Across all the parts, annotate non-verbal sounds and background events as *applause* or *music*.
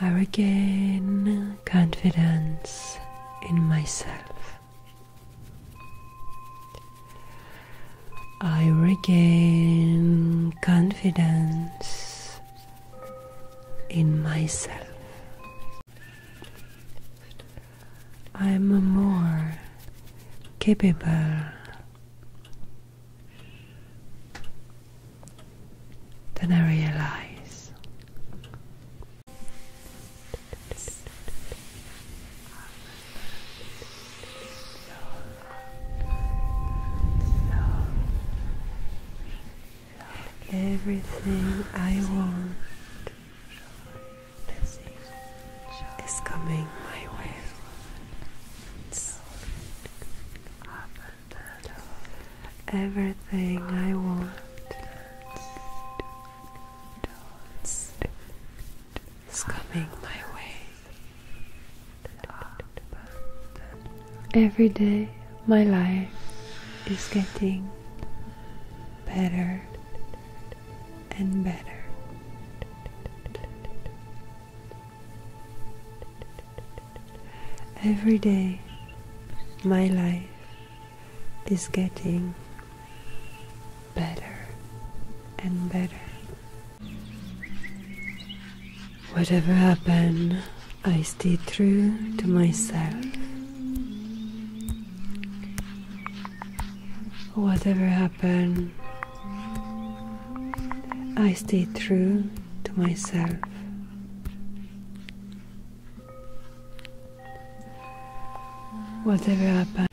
I regain confidence in myself. I regain confidence in myself. I'm more capable then I realize. Everything I want is coming my way everything I want. Is coming my way. Every day, my life is getting better and better. Every day, my life is getting better and better. Whatever happened, I stay true to myself. Whatever happened, I stay true to myself. Whatever happened,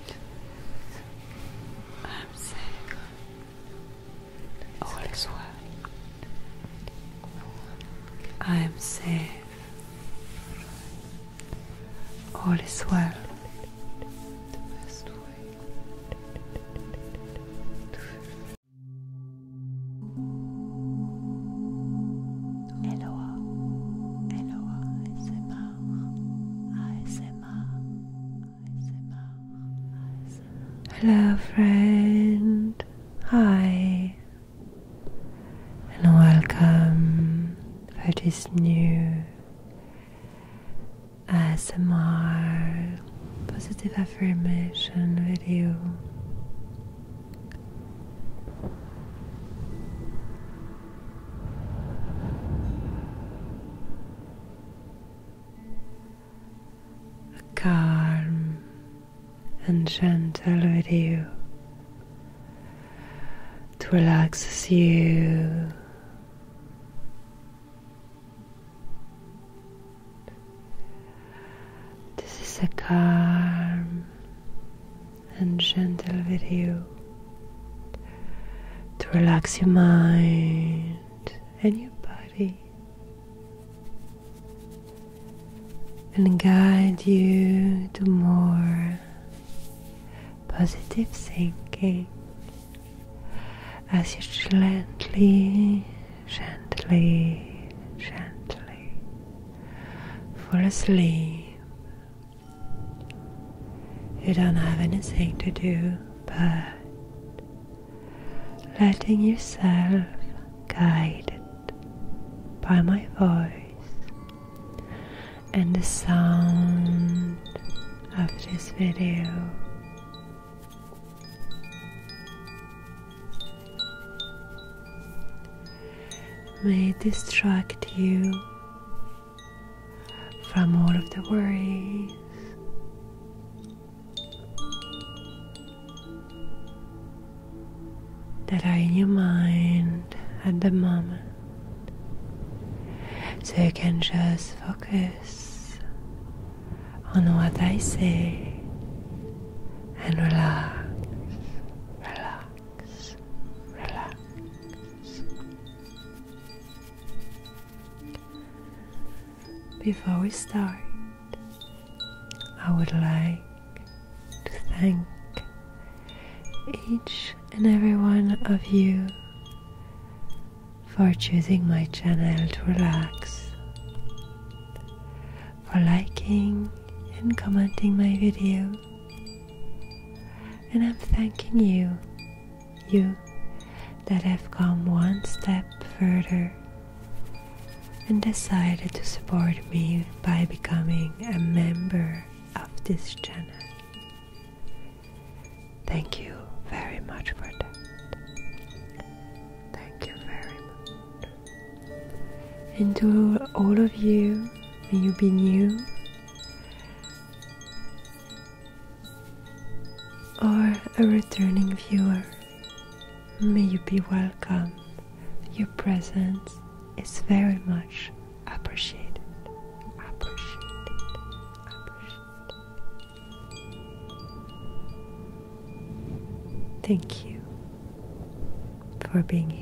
I'm safe. All is well. I am safe. All is well. Eloa, Eloa ASMR, ASMR, ASMR. Hello, friend. Hi, and welcome for this new ASMR positive affirmation video. A calm and gentle with you to relaxes you. This is a calm and gentle video to relax your mind and your body and guide you to more positive thinking as you gently gently, gently fall asleep. You don't have anything to do but letting yourself guided by my voice and the sound of this video may distract you from all of the worries. That are in your mind at the moment, so you can just focus on what I say and relax, relax, relax. Before we start, I would like to thank each and every one of you for choosing my channel to relax, for liking and commenting my video. And I'm thanking you, you that have come one step further and decided to support me by becoming a member of this channel. Thank you very much for that. Thank you very much. And to all of you, may you be new or a returning viewer. May you be welcome. Your presence is very much appreciated. Appreciated. Appreciated. Thank you for being here.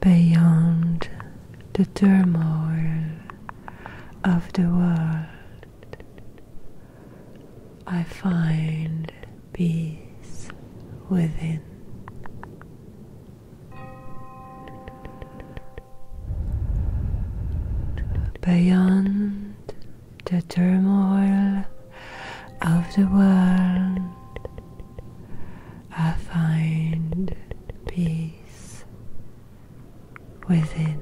beyond the turmoil of the world. I find peace within. Beyond the turmoil of the world, I find peace within.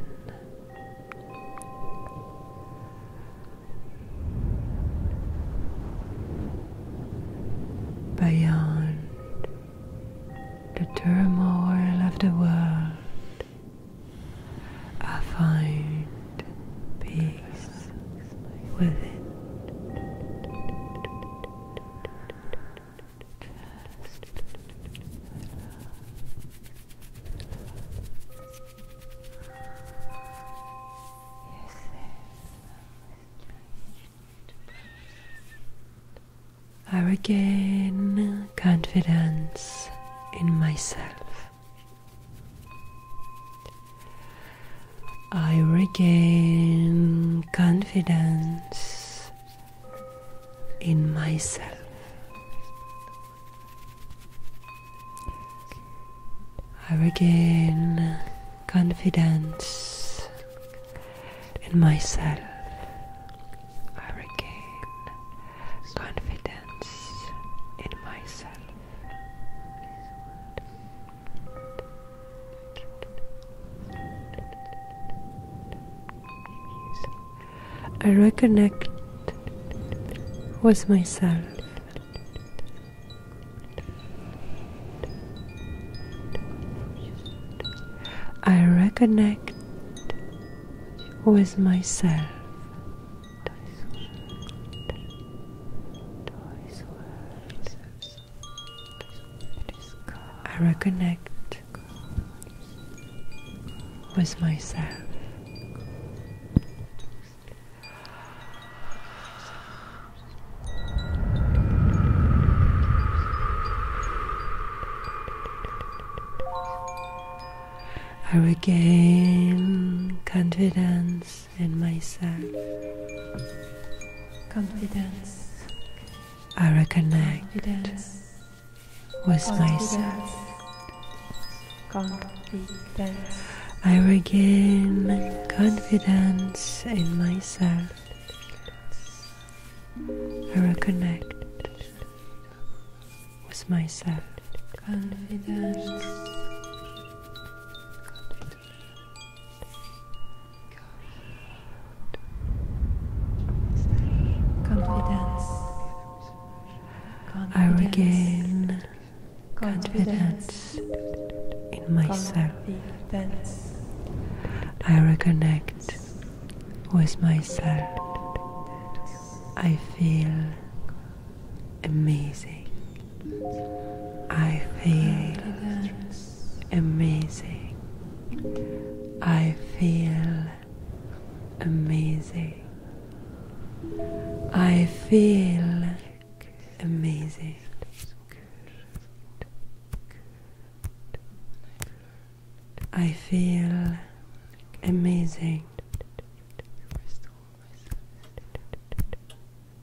Beyond the turmoil of the world, I find peace within. I regain confidence in myself. I regain confidence in myself. I regain confidence in myself. I regain confidence in myself. I reconnect with myself. I reconnect with myself. I reconnect with myself. I regain confidence in myself. Confidence I reconnect with myself. I regain confidence in myself. I reconnect with myself. Confidence. I regain confidence, in myself. I reconnect with myself. I feel amazing. I feel amazing. I feel amazing. I feel amazing. I feel amazing.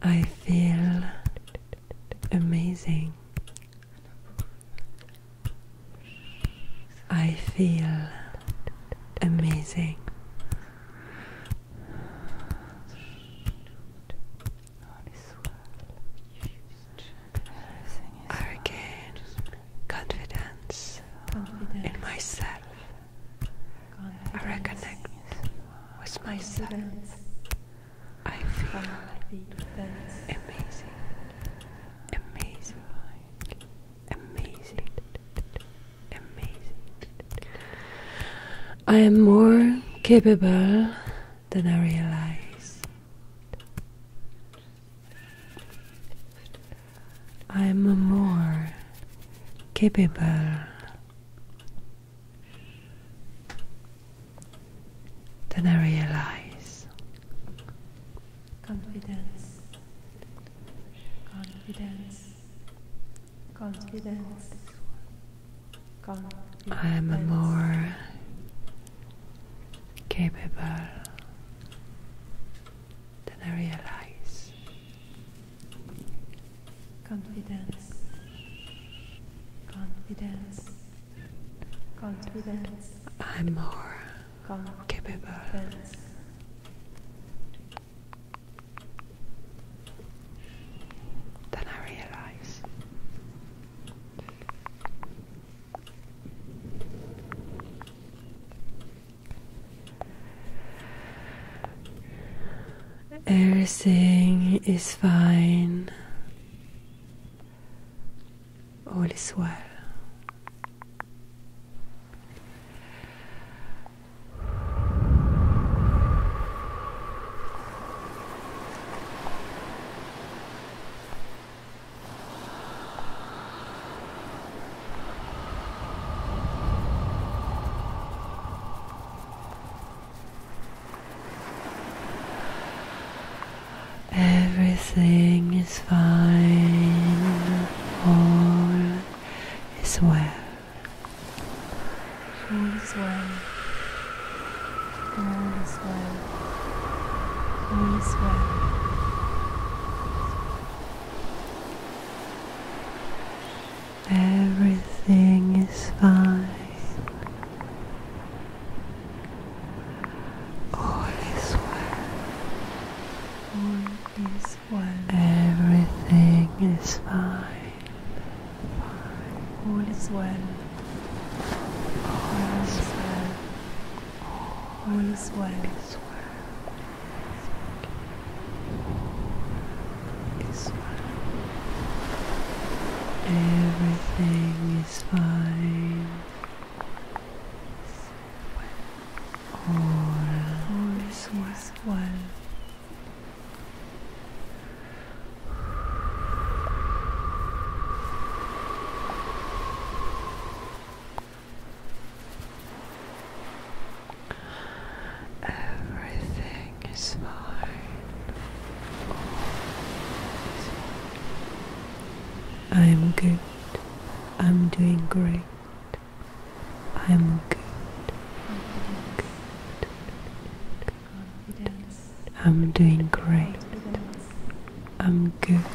I feel amazing. I feel amazing. I regain confidence in myself. I reconnect with myself. I feel amazing, amazing, amazing, amazing. I am more capable than I realize. I am more capable then I realize confidence, confidence, confidence. I am more capable than I realize. Confidence, confidence. I'm more capable. Than I realize. Everything is fine all is well. Everything is fine, all is well. All is well, all is well, all is well. Everything is fine. All is well. All is well. Everything is fine. fine. All is well. All is well. All is well. Everything is fine all is well. Everything is fine. well. I am good. I'm doing great. I am good. good. I'm doing great. I'm good.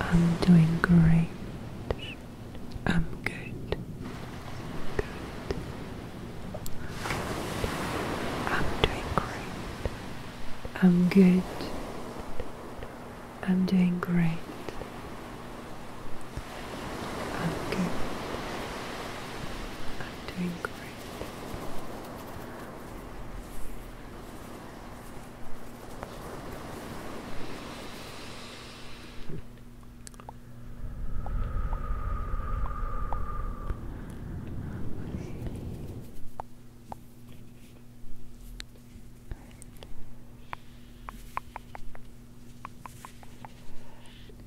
I'm doing great. I'm good. Good. I'm doing great. I'm good. I'm doing great. I'm good. I'm doing great.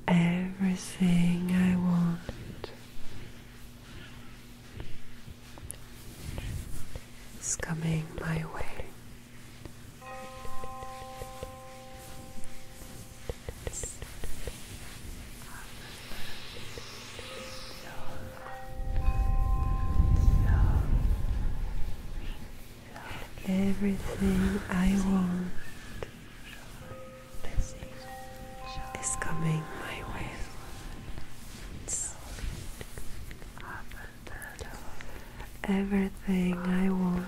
Everything I want. is coming my way. *laughs* Everything I want is coming my way. Everything I want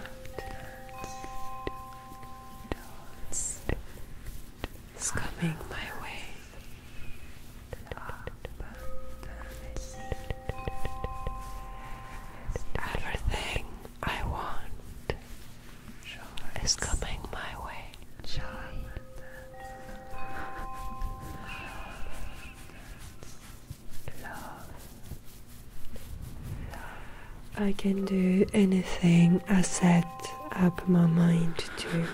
is coming my way. Everything I want is coming my way. I can do anything I set up my mind to.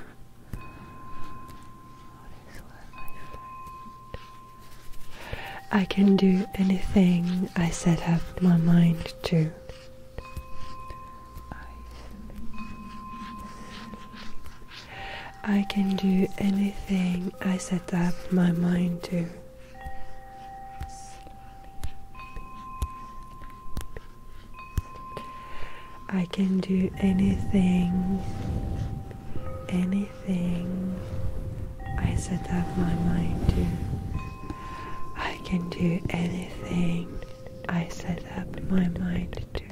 I can do anything I set up my mind to. I can do anything I set up my mind to. I can do anything, anything I set up my mind to. I can do anything I set up my mind to.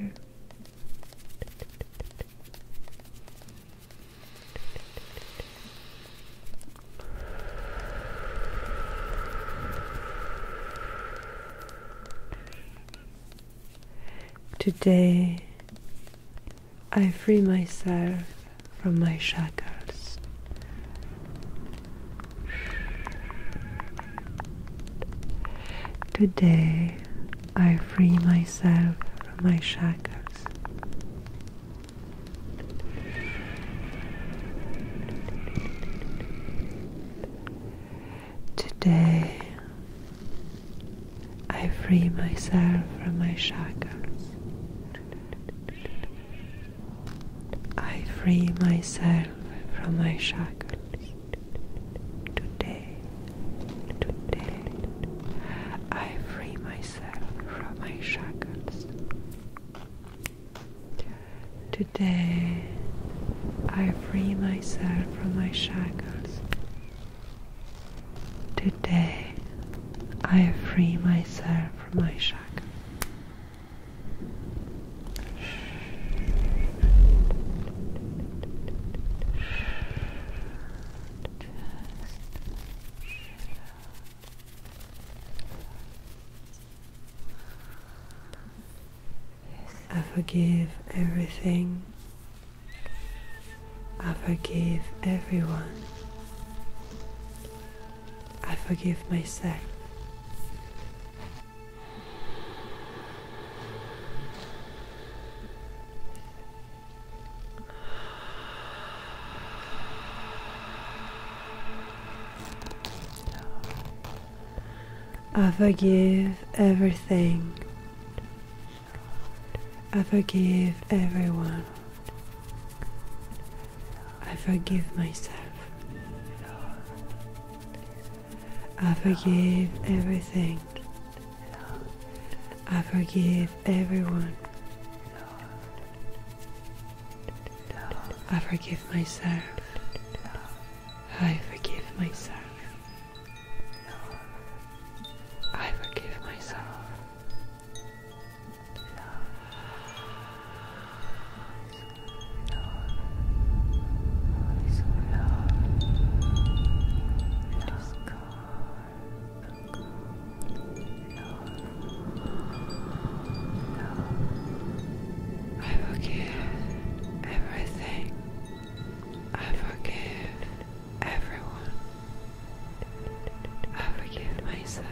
Today I free myself from my shackles. Today I free myself from my shackles. Today I free myself from my shackles. I free myself from my shackles. Today, I free myself from my shackles. Today I free myself from my shackles. Today I free myself from my shackles. I forgive everything. I forgive everyone. I forgive myself. I forgive everything. I forgive everyone. I forgive myself. I forgive everything. I forgive everyone. I forgive myself. I forgive myself. I forgive myself. I forgive everything. I forgive everyone. I forgive myself.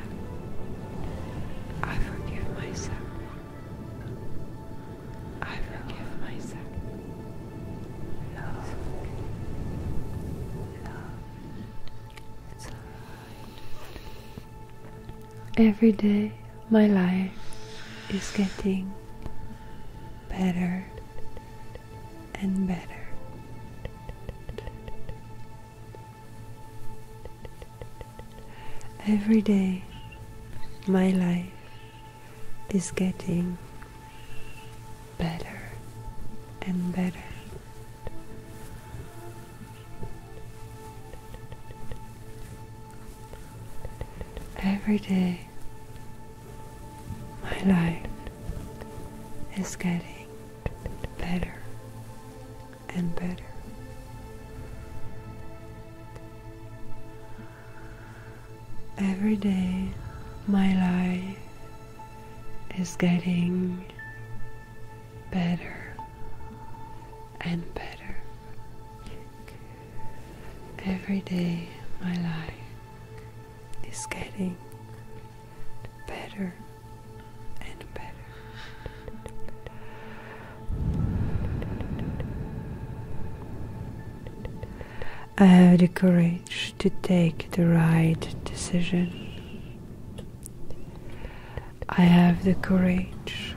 I forgive myself. I forgive myself. Every day my life is getting better and better. Every day, my life is getting better and better. Every day, my life is getting better and better. Every day, my life is getting better and better. Every day my life is getting better and better. I have the courage to take the right decision. I have the courage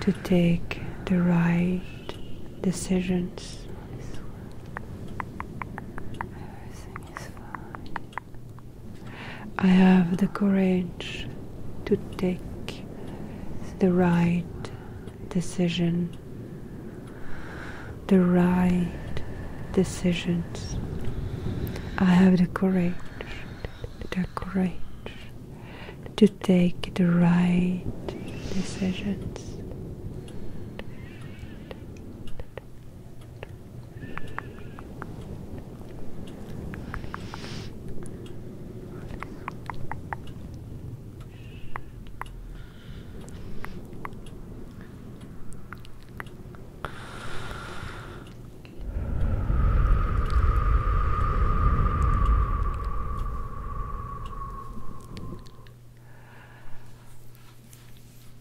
to take the right decisions. Everything is fine. I have the courage to take the right decision, the right decisions. I have the courage, the courage to take the right decisions.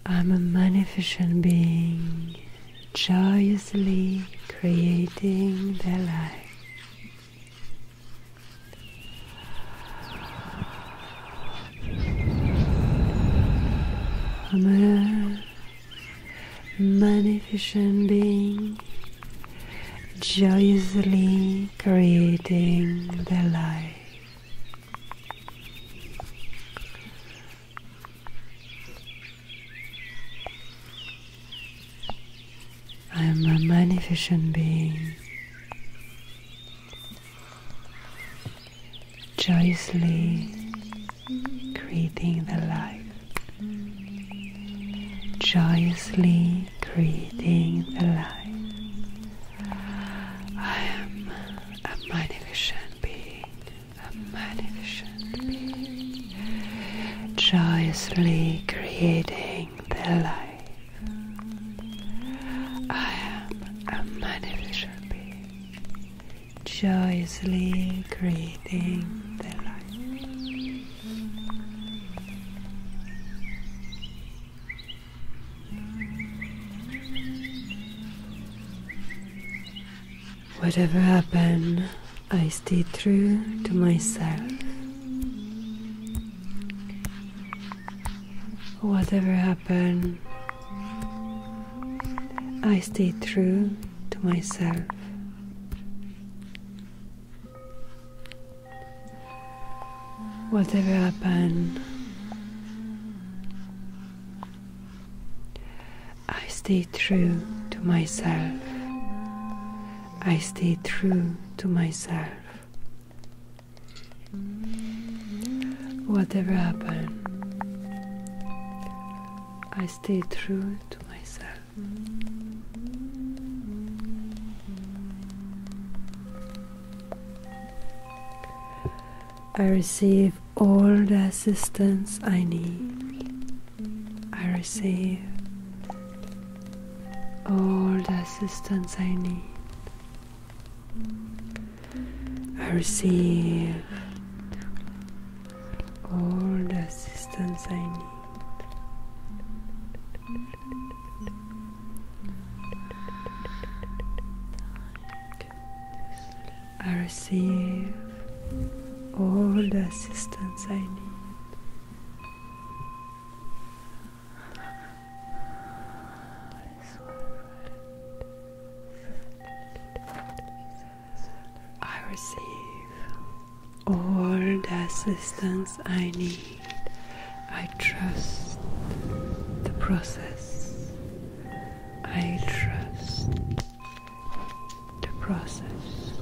I'm a magnificent being, joyously creating the light. I'm a magnificent being, joyously creating the life. I am a magnificent being, joyously creating the life joyously creating the light. I am a magnificent being, a magnificent being, joyously creating the light. I am a magnificent being, joyously creating the light. Whatever happened, I stayed true to myself. Whatever happened, I stayed true to myself whatever happen I stay true to myself I stay true to myself whatever happen I stay true to myself I receive all the assistance I need. I receive all the assistance I need. I receive all the assistance I need. I receive all the assistance I need. I receive all the assistance I need. I trust the process. I trust the process.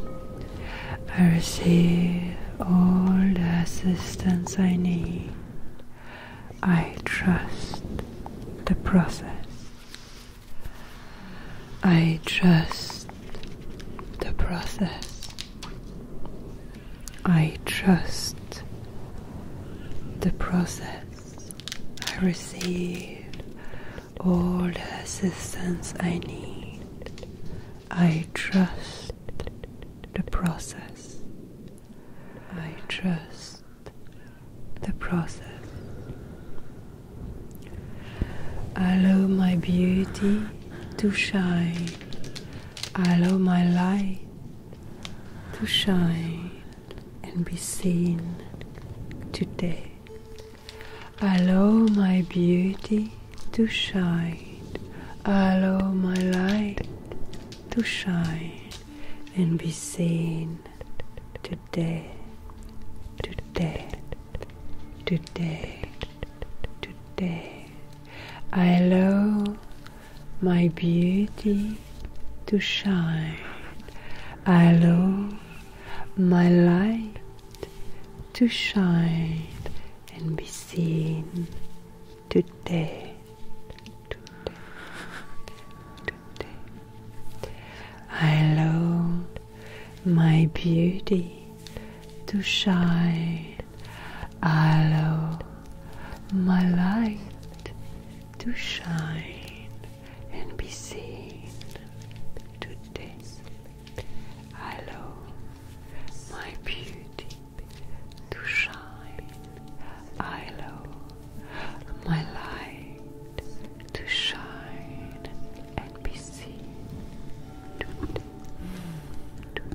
I receive all the assistance I need. I trust the process. I trust the process. I trust the process. I receive all the assistance I need. I trust the process. I trust the process. Allow my beauty to shine. I allow my light to shine and be seen today. I Allow my beauty to shine, I allow my light to shine and be seen today, today, today, today. I Allow my beauty to shine. I Allow my light to shine and be seen today. Today, today. I allow my beauty to shine. Allow my light to shine and be seen today. Allow my beauty to shine. Allow my light to shine and be seen today.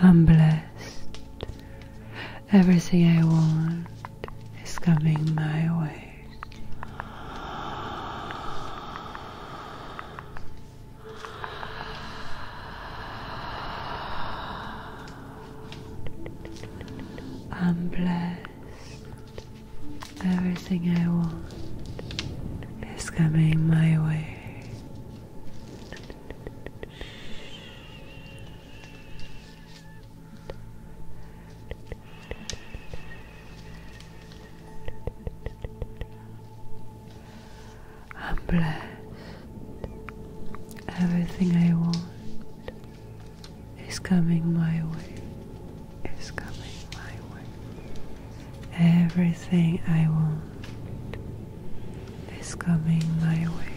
I'm blessed. Everything I want is coming my way. I'm blessed. Everything I want is coming my way. I'm blessed. Everything I want is coming my way. Is coming my way. Everything I want is coming my way.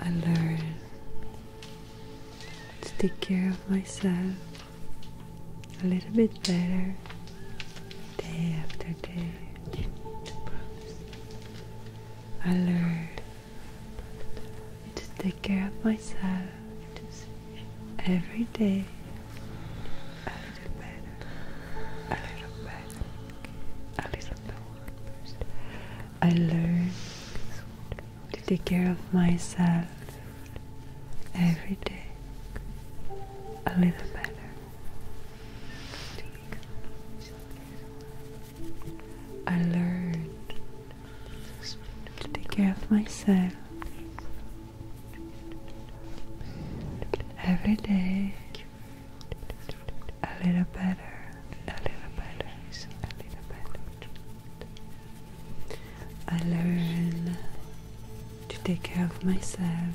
I learn to take care of myself a little bit better day after day. I learned to take care of myself every day a little better, a little better, a little better. I learned to take care of myself every day a little better. I learned to take care of myself every day a little better, a little better, a little better. I learn to take care of myself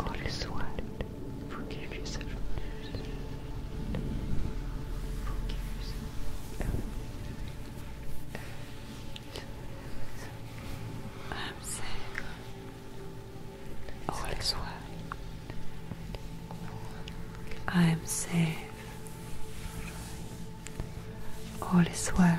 All is one. Forgive yourself. Forgive yourself. I'm safe. All is well. I am safe. All is well.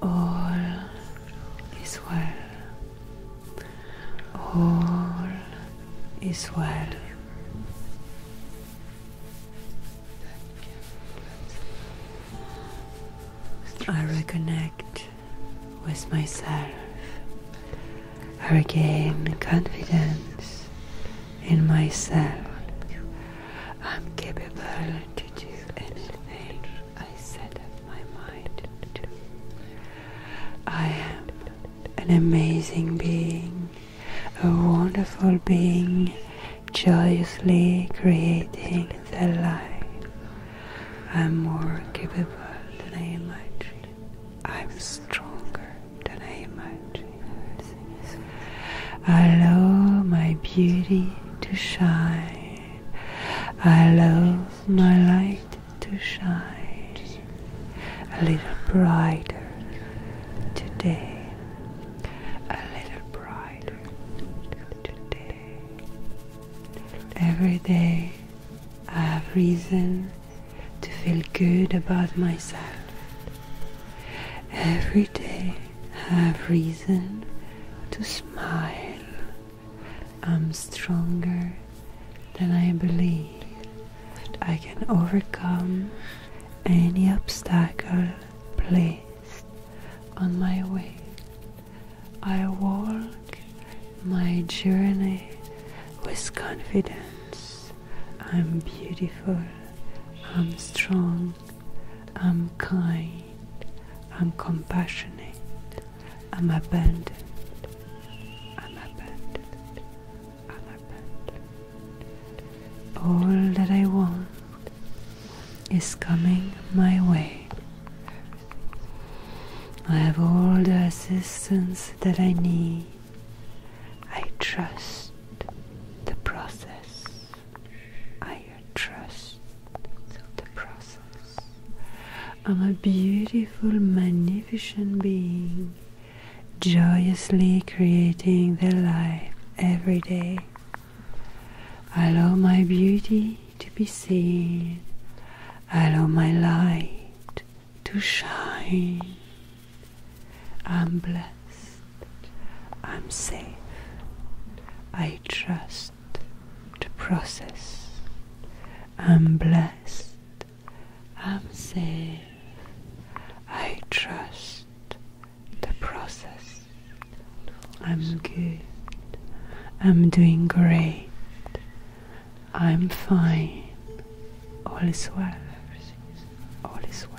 All is well. All is well. I reconnect with myself. I regain confidence in myself. I'm capable to do anything I set up my mind to. I am an amazing being, a wonderful being, joyously creating the life. I'm more capable than I imagine. I'm stronger than I imagine. I Allow my beauty to shine. I Allow my light to shine a little brighter today. A little brighter today. Every day I have reason to feel good about myself. Every day have reason to smile. I'm stronger than I believe. I can overcome any obstacle placed on my way. I walk my journey with confidence. I'm beautiful. I'm strong. I'm kind, I'm compassionate, I'm abandoned, I'm abandoned, I'm abandoned. All that I want is coming my way. I have all the assistance that I need. I trust the process higher trust the process. I'm a beautiful, magnificent being, joyously creating the life every day. I love my beauty to be seen. I love my light to shine. I'm blessed. I'm safe. I trust the process. I'm blessed. I'm safe. I trust the process. I'm good. I'm doing great. I'm fine. All is well. All is well.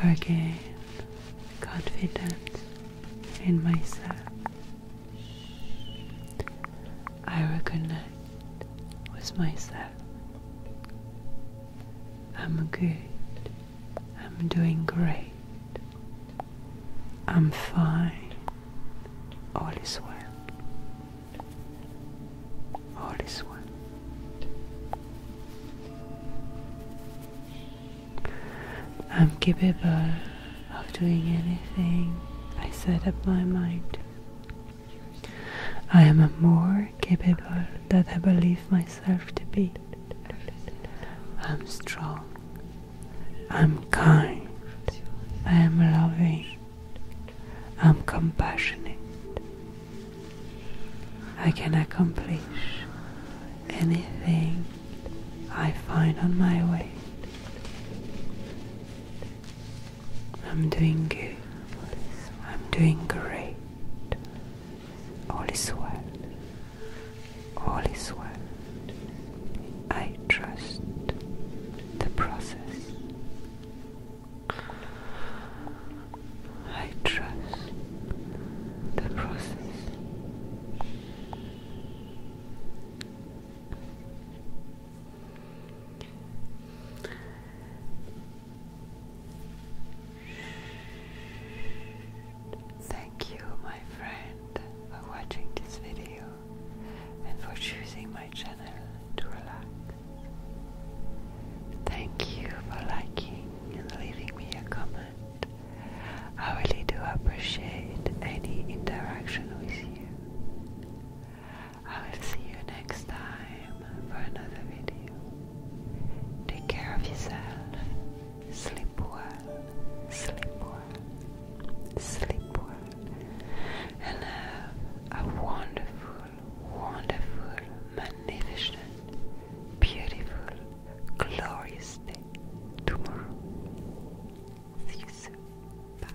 I regain confidence in myself. I reconnect with myself. I'm good. I'm doing great. I'm fine. All is well. All is well. I'm capable of doing anything I set up my mind. I am more capable than I believe myself to be. I'm strong I'm kind, I am loving, I'm compassionate. I can accomplish anything I find on my way. I'm doing good. I'm doing great. All is well. All is well. I trust the process. I trust the process. Thank you, my friend, for watching this video and for choosing my channel to relax. Thank you for liking and leaving me a comment. I really do appreciate any interaction with you. I will see you next time for another video. Take care of yourself. Sleep well. Sleep well sleep well, and have a wonderful, wonderful, magnificent, beautiful, glorious day tomorrow. See you soon. Bye.